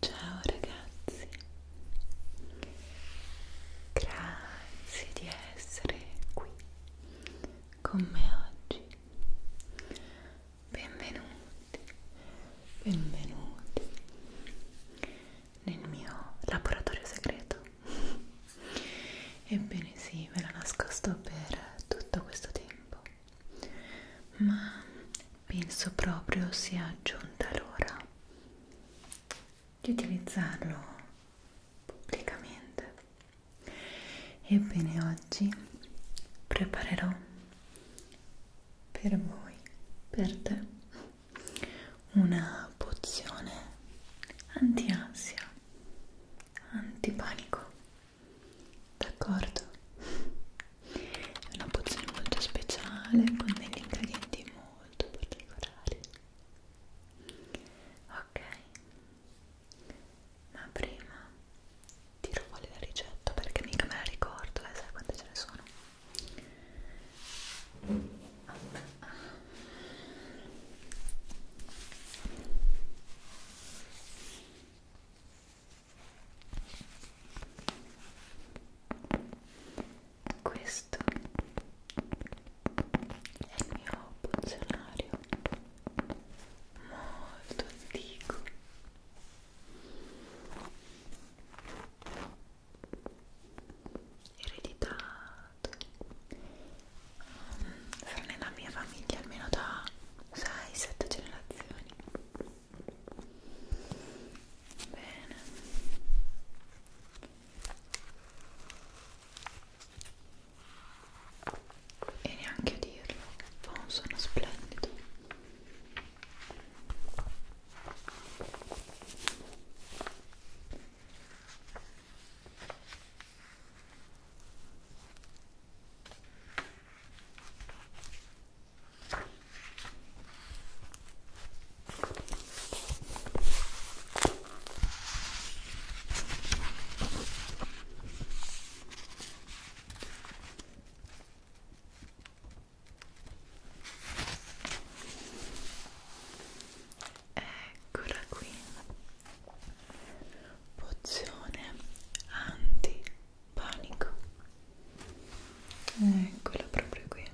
Ciao ragazzi, grazie di essere qui con me oggi. Benvenuti, benvenuti nel mio laboratorio segreto. Ebbene sì, ve l'ho nascosto per tutto questo tempo ma penso proprio sia giunta l'ora di utilizzarlo pubblicamente ebbene oggi preparerò per voi per te una pozione anti ansia antipanico d'accordo? È una pozione molto speciale con degli ingredienti molto particolari. Ok, ma prima tiro fuori la ricetta perché mica me la ricordo, eh, sai quante ce ne sono? Questo è il mio pozionario molto antico. Ereditato sono nella mia famiglia almeno da 6-7 generazioni bene e neanche a dirlo fa un boh, suono splendido Eccola qui pozione antipanico eccola proprio qui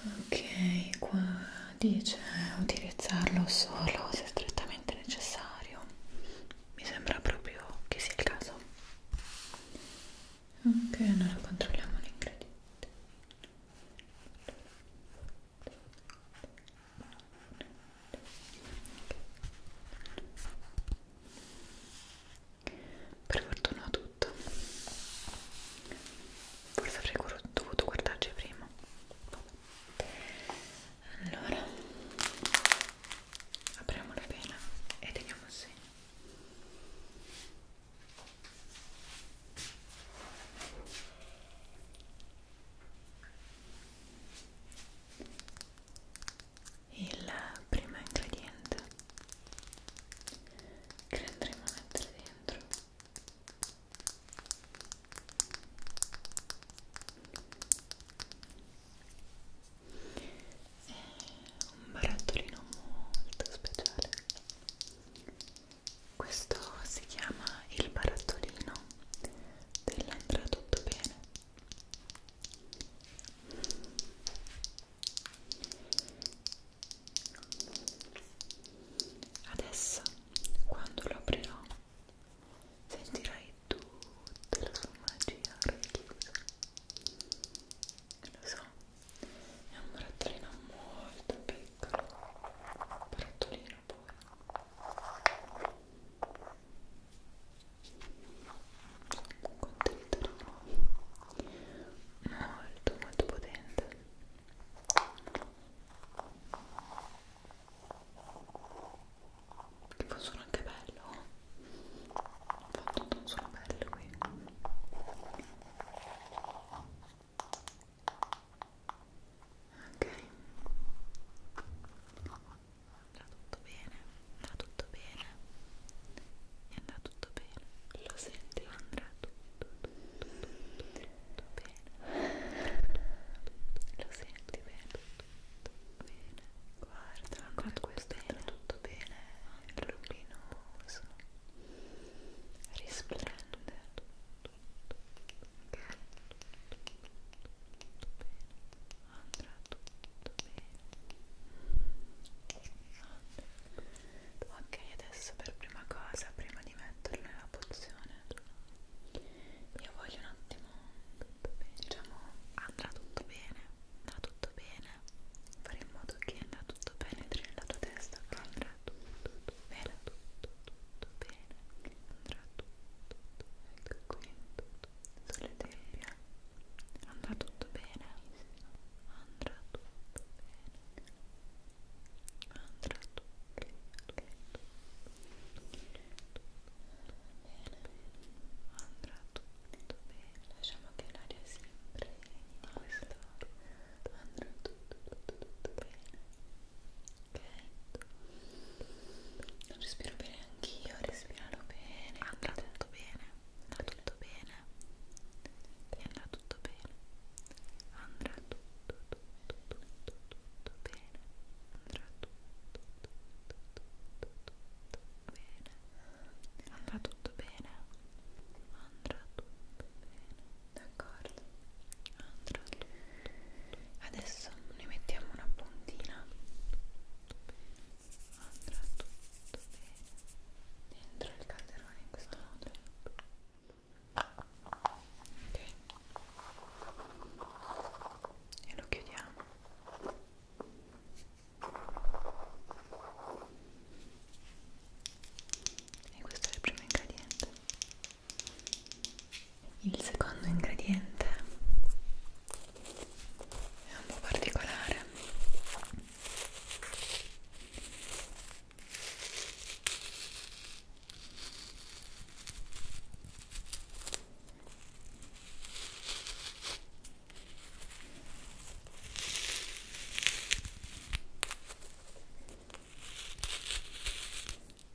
ok qua dice utilizzarlo solo se strettamente necessario mi sembra proprio che sia il caso ok allora controlliamo l'ingrediente per fortuna ho tutto. Forse avrei dovuto guardarci prima. Allora, apriamo la pena e teniamo insieme. Il primo ingrediente che andremo a mettere dentro è un barattolino molto speciale questo si chiama il barattolino dell'andrà tutto bene adesso quando lo aprirò sentirai tutta la sua magia racchiusa lo so è un barattolino molto piccolo barattolino poi un contenitorino molto molto potente che fa un suono anche bello ho fatto un suono bello qui Ok, andrà tutto bene, andrà tutto bene, e andrà tutto bene, lo senti, andrà tutto, tutto, tutto, tutto bene, lo senti bene, tutto bene, guarda, guarda questo, andrà tutto bene, il rubino, risplende ok andrà tutto bene ok adesso per prima cosa prima di metterlo nella pozione io voglio un attimo diciamo andrà tutto bene andrà tutto bene fare in modo che andrà tutto bene nella tua testa che andrà tutto, tutto bene tutto tutto bene andrà tutto, tutto ecco qui sulle tempie andrà tutto bene andrà tutto bene andrà tutto bene andrà tutto bene lasciamo che l'aria si impregni di questo andrà tutto, tutto, tutto bene ok? respiro bene anch'io, respiralo bene andrà tutto bene andrà tutto bene e andrà tutto bene andrà tutto, tutto, tutto, tutto bene andrà tutto, tutto, tutto, tutto bene andrà tutto bene andrà tutto bene d'accordo andrà tutto adesso ne mettiamo una puntina andrà tutto bene dentro il calderone in questo modo ok e lo chiudiamo e questo è il primo ingrediente il secondo ingrediente è un po' particolare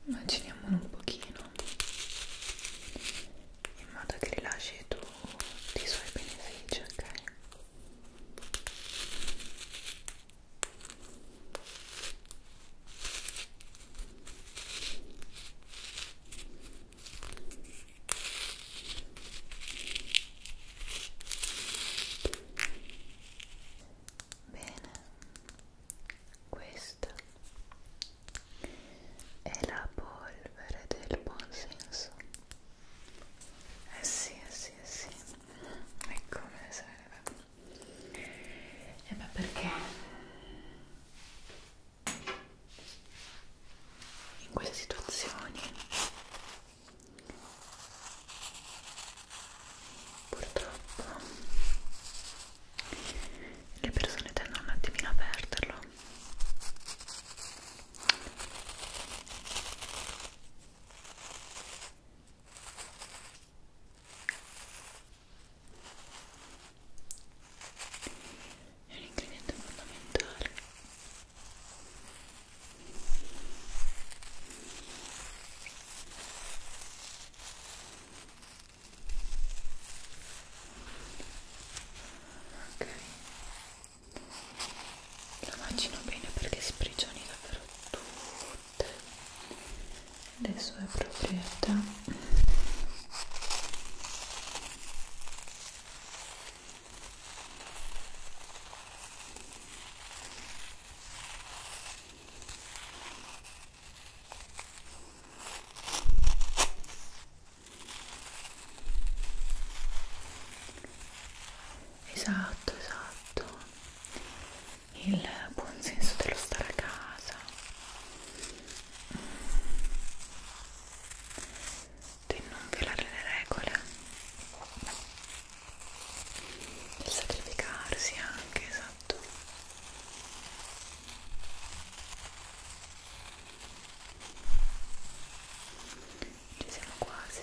Immaginiamolo un pochino in modo che rilasci tutti i suoi benefici, ok? Bene, questa è la polvere del buon senso. Eh sì, eh sì, eh sì. E come serve? E eh, ma perché in queste situazioni purtroppo le persone tendono un attimino a perderlo è un ingrediente fondamentale ok lo macino bene perché sprigioni davvero tutte le sue proprietà Esatto, esatto. Il buon senso dello stare a casa di non violare le regole del sacrificarsi anche, esatto ci siamo quasi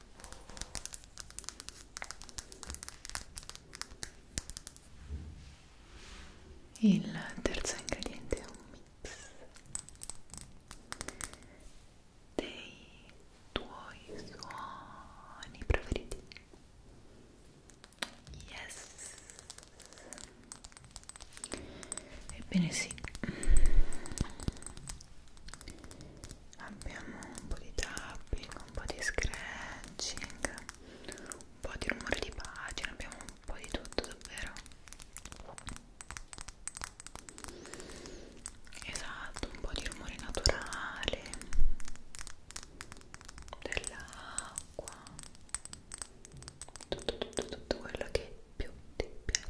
Il terzo ingrediente è un mix dei tuoi suoni preferiti. Yes! Ebbene sì, abbiamo un po' di tapping, un po' di scratching, un po' di rumore di pagina, abbiamo un po' di tutto davvero esatto, un po' di rumore naturale dell'acqua tutto tutto tutto quello che più ti piace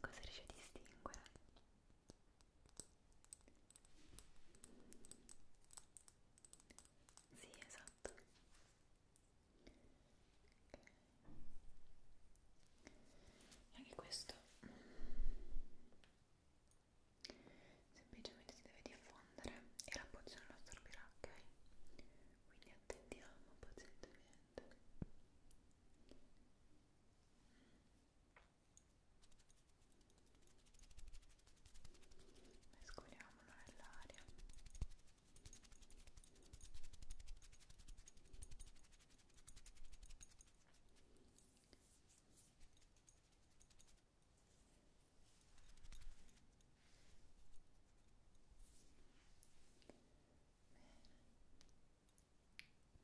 Cosa riesci a distinguere? Sì, esatto. E anche questo semplicemente si deve diffondere e la pozione lo assorbirà, ok? Quindi attendiamo pazientemente mm. mescoliamolo nell'aria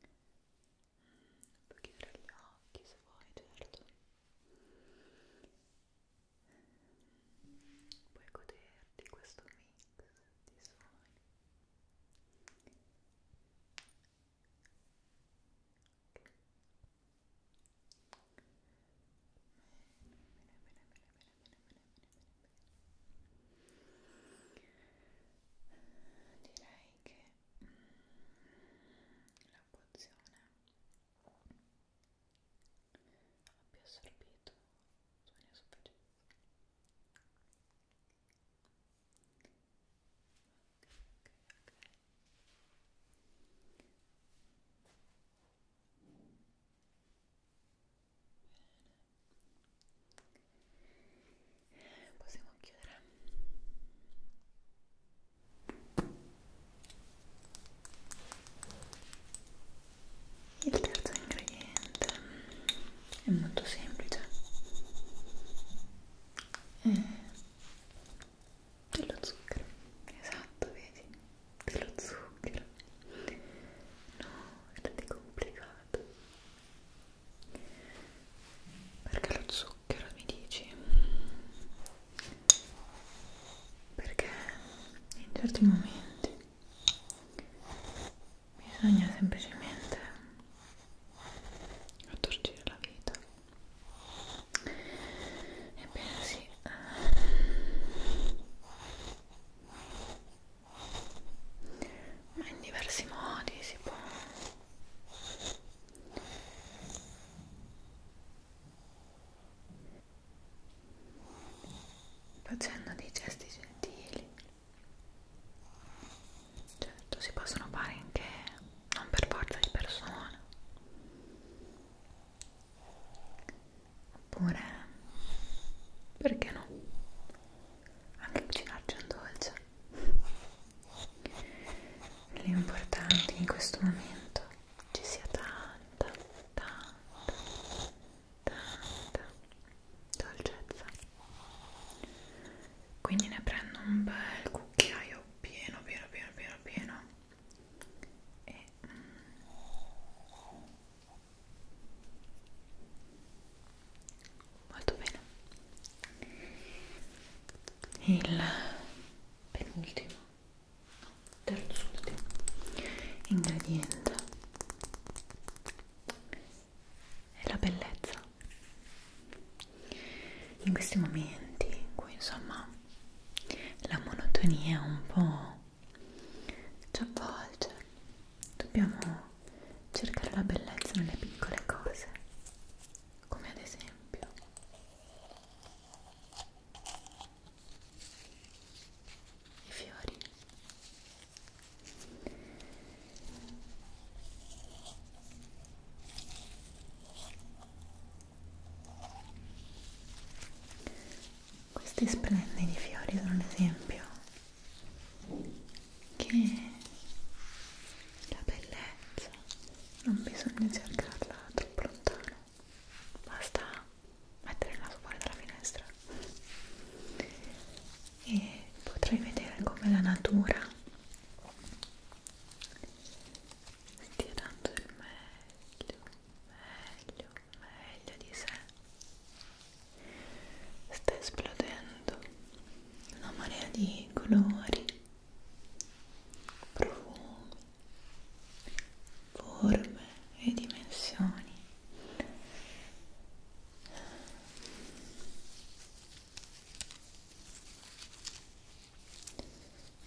Bene. Puoi chiudere gli occhi se vuoi, certo. Puoi goderti questo mix di suoni. Okay. Bene, bene, bene, bene, bene, bene, bene, bene, bene, bene, direi che mm, la pozione abbia assorbito il mio soffice ok ok ok Bene. Possiamo chiudere. Il terzo ingrediente è molto semplice. È dello zucchero. Esatto, vedi? Dello zucchero. No, è complicato. Perché lo zucchero mi dici? Perché in certi momenti bisogna semplicemente attorcire la vita. Ebbene sì. Eh ma in diversi modi si può facendo dei gesti gentili certo si possono fare anche non per forza di persona oppure perché no anche cucinarci un dolce l'importante in questo momento ci sia tanta tanta tanta dolcezza quindi ne prendo un bel cucchiaio pieno pieno pieno pieno pieno e mm, molto bene il penultimo no, terzo ultimo ingrediente è la bellezza in questi momenti in cui insomma la monotonia è un po' ci avvolge dobbiamo cercare la bellezza nelle piccole cose come ad esempio i fiori questi splendidi fiori sono un esempio che la bellezza non bisogna cercarla troppo lontano, basta mettere il naso fuori dalla finestra e potrai vedere come la natura stia dando il meglio, meglio, meglio di sé sta esplodendo una marea di colori profumi forme e dimensioni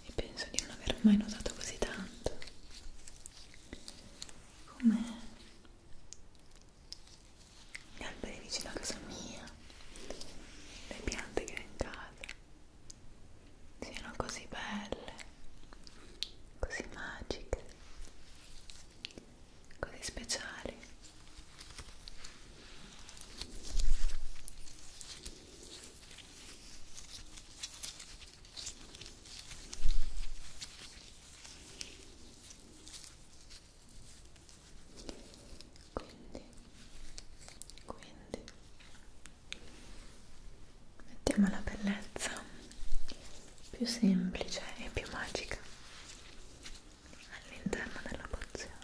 e penso di non aver mai notato così tanto come gli alberi vicino a casa mia, le piante che ho in casa siano così belle, così magiche, così speciali quindi quindi mettiamo la bellezza più semplice e più magica all'interno della pozione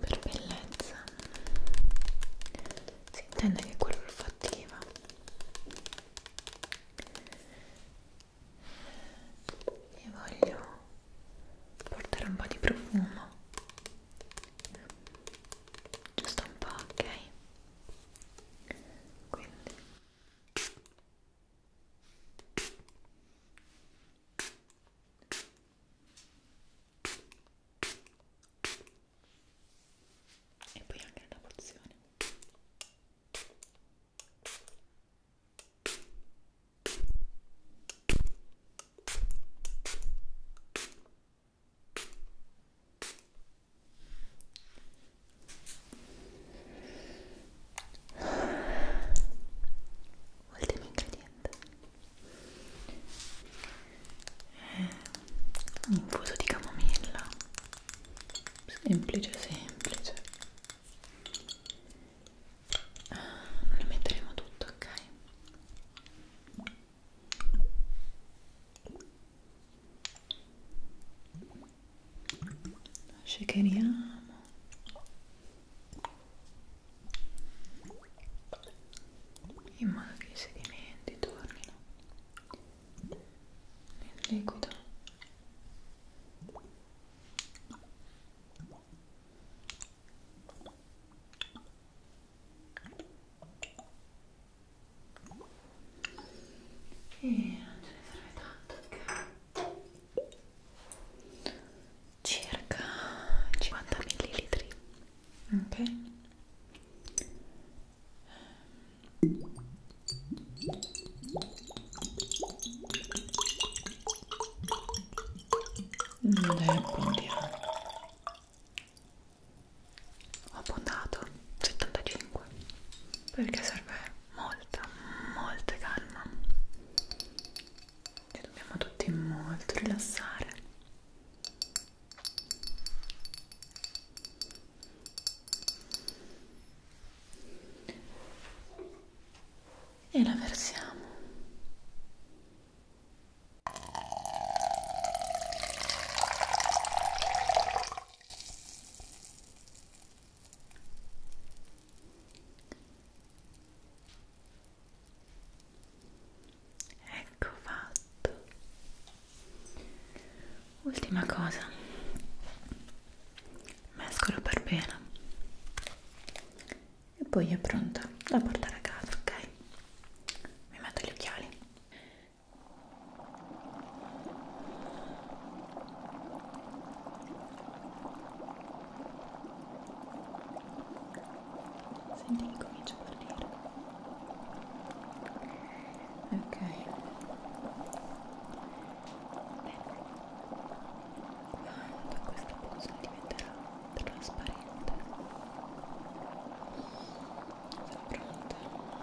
per bellezza si intende che è quello olfattiva e voglio portare un po' di profumo giusto un po' ok quindi e poi anche la porzione ultimo ingrediente eh, un infuso di camomilla semplice semplice ah, non ne metteremo tutto ok shakeriamo in modo che i sedimenti tornino nel liquido e non ce ne serve tanto che circa 50 millilitri ok è mm, abbondiamo eh. ho abbondato 75 perché serve molta, molta calma e dobbiamo tutti molto rilassare e la versiamo Ecco fatto. Ultima cosa. Mescolo per bene. E poi è pronta da portare a casa, ok? Mi metto gli occhiali. Senti che comincio a partire. Ok. Bene. Quando questa posa diventerà trasparente. Sono pronta.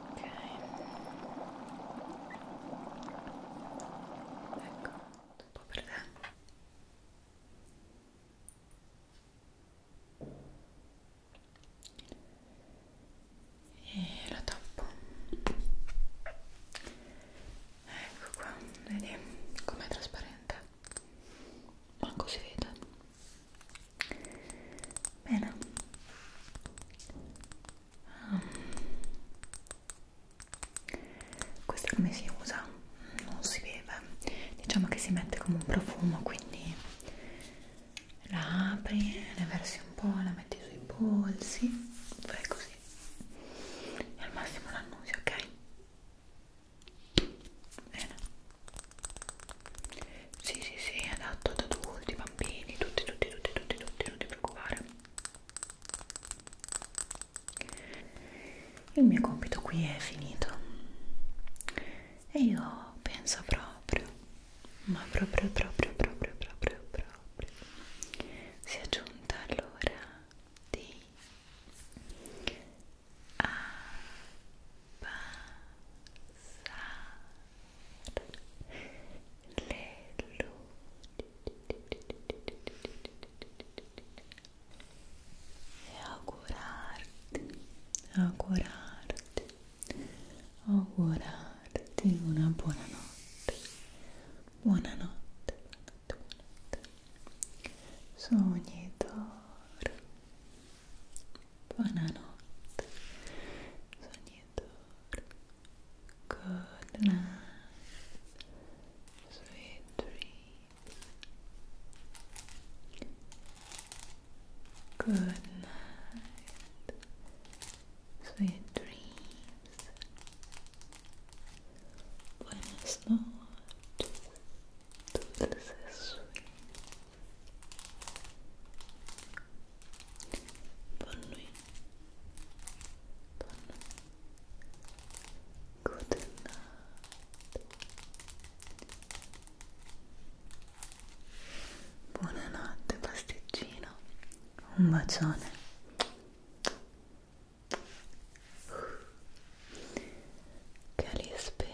ok ecco un po' per te e la tappo ecco qua vedi com'è trasparente ma così vede bene questa come si usa? Non si beve, diciamo che si mette come un profumo, quindi la apri, ne versi un po', la metti sui polsi, fai così e al massimo l'annusi, ok? Bene. Sì, sì, sì, adatto ad adulti, bambini, tutti, tutti, tutti, tutti, tutti, non ti preoccupare. Il mio compito qui è finito. E io penso proprio, ma proprio, proprio, proprio, proprio, proprio, si è giunta l'ora di apparire le luci e augurarti, augurarti, augurarti una buona notte, buonanotte, buonanotte, buonanotte. sogni d'oro, buonanotte, sogni d'oro. Good night. Sweet dreams. Good night. Sweet dreams. Buenas noches. Dulces sueños. Bonne nuit. Bonne nuit. Good night. Buonanotte pasticcino. Un bacione. Che li spero.